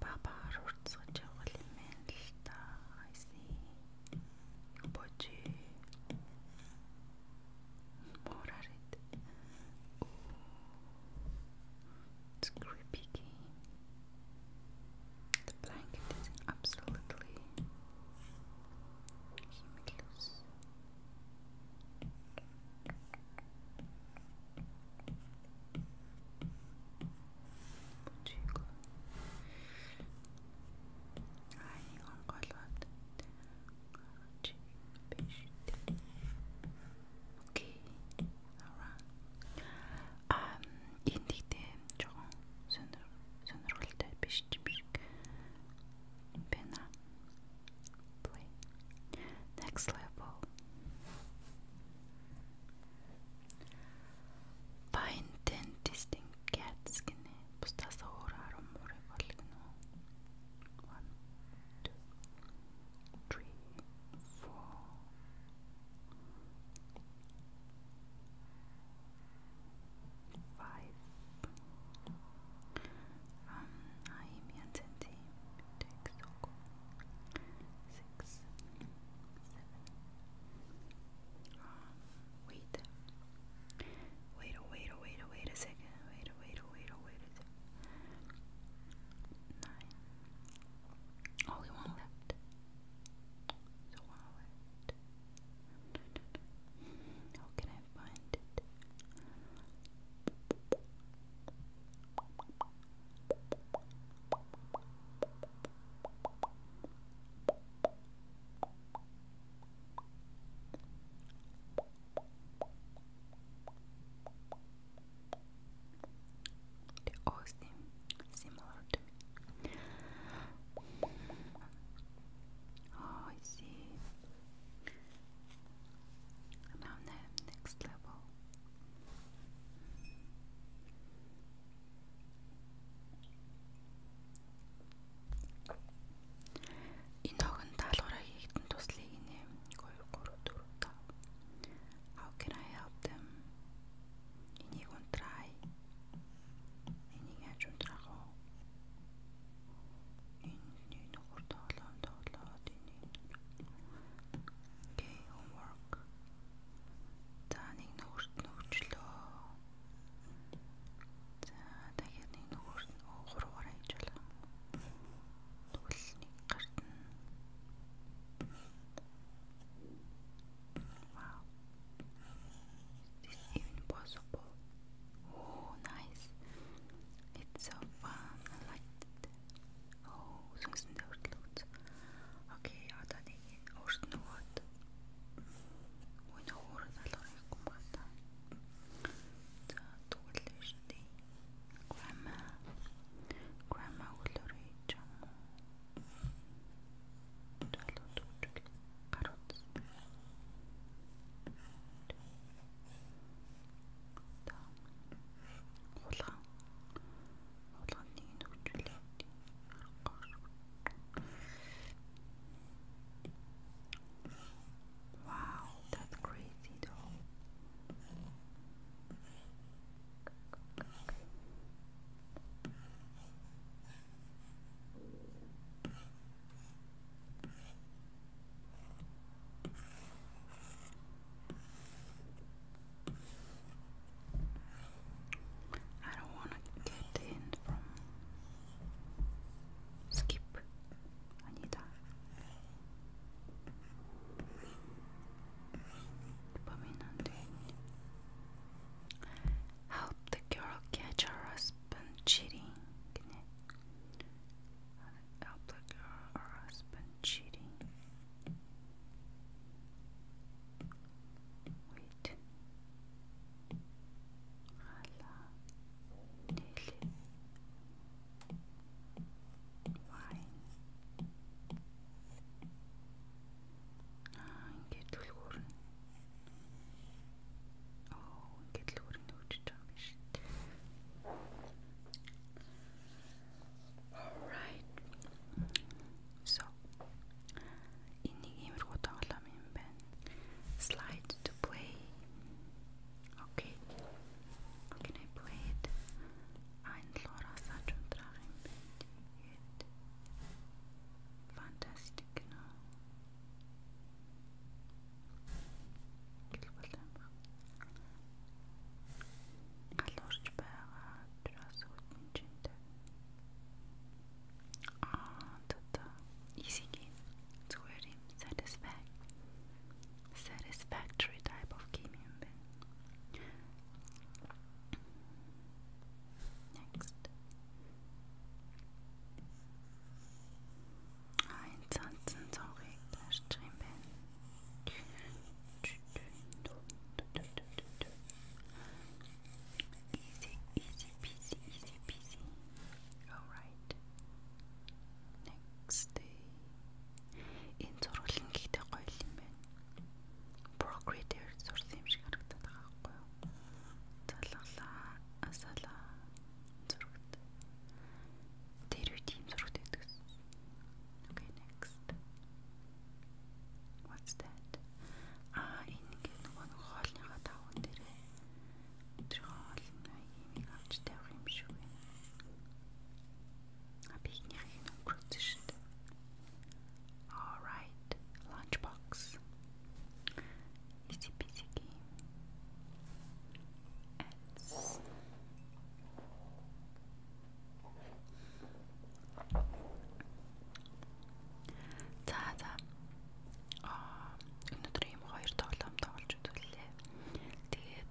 Бабаар уртсгаж явал юм байна л та. Айсны. Юу бочи? Морарит. It's creepy game. The blanket is absolutely humidless. Бүжиг. Ай, онголоод. Чи биш. Окей. Ара. Ам, энэ дэгтэй жоохон сонир сонирхолтой биш юм шиг байна. play. Next level. Find ten distinct cats skin. Bustasa orar om One, two, three, four. Five um, Naomi and Tinti take wait. Wait, oh, wait, oh, wait, oh, wait a second. Wait, oh, wait, oh, wait, oh, wait a second. Nine. Only one left. So one left. How can I find it. They all seem similar to me. Oh, I see. Now name next level. Энэ охин даалгавраа хийгдэн туслыг нээм 2 3 4 5. How can I help them? Энийг унтраа. Энийг яаж унтраах вэ? энэ нэг гур тоглоом тоглоод энэ гей homework за нэг нөхөрт нөхчлөө за дахиад нэг нөхөрт гурваар хийж болоо тэгвэл нэг гарт нь вау This even possible? Oh, nice. It's so fun. I like it. Oh, сүнсэндээ хөрлөгц. Окей, одоо нэг өөрт нөгөөд өнөө өөр залгуурын юм байна та. За, тэгвэл шүү дээ. Grandma. Grandma өглөөрэй юм. Залуу дүүж. carrots Wow, that's crazy though. I don't want to get the from skip. I need that. Dopamine hunting. Help the girl catch her husband cheating. Help the girl her husband cheating. Wait. Wine. Аа ингээд түлхүүрнэ. Оо ингээд түлхүүрнэ өгч байгаа юм шүү дээ. Alright. So энийг иймэрхүү тоглоом юм байна. Slide to play. Okay. Can I play it? Айн лораса чундраг юм байна. Тэгээд фантастик кино. Гэл болоо юм байна. Галуурч байгаа. Тэрээс үтэн чинтэй. Аа, тата. Easy game. Зүгээр юм. Satisfaction. Satisfactory type of game юм байна. Next. Аа энэ цанцсан цонхыг тарьж юм байна. Easy, easy peasy, easy peasy. All right. Next day. Энэ зурглан гэхдээ гоё юм байна. Procreate-ээр сурсан юм шиг харагдаад байгаа байхгүй юу? Залглаа, асаалаа. Зургт. Тэр үед ийм зургт байдаг. Okay, next. What's that? Аа, энэ гээд нөгөө нэг хоолныхаа таван дээрээ тэр хоол нэг юм авч тавих юм шиг байна объединяю өнгөрөөсөн. All right, lunchbox. Easy peasy game. Ants. За за. Аа, өнөөдөр ийм хоёр тоглоом тоглож үзлээ. Тэгээд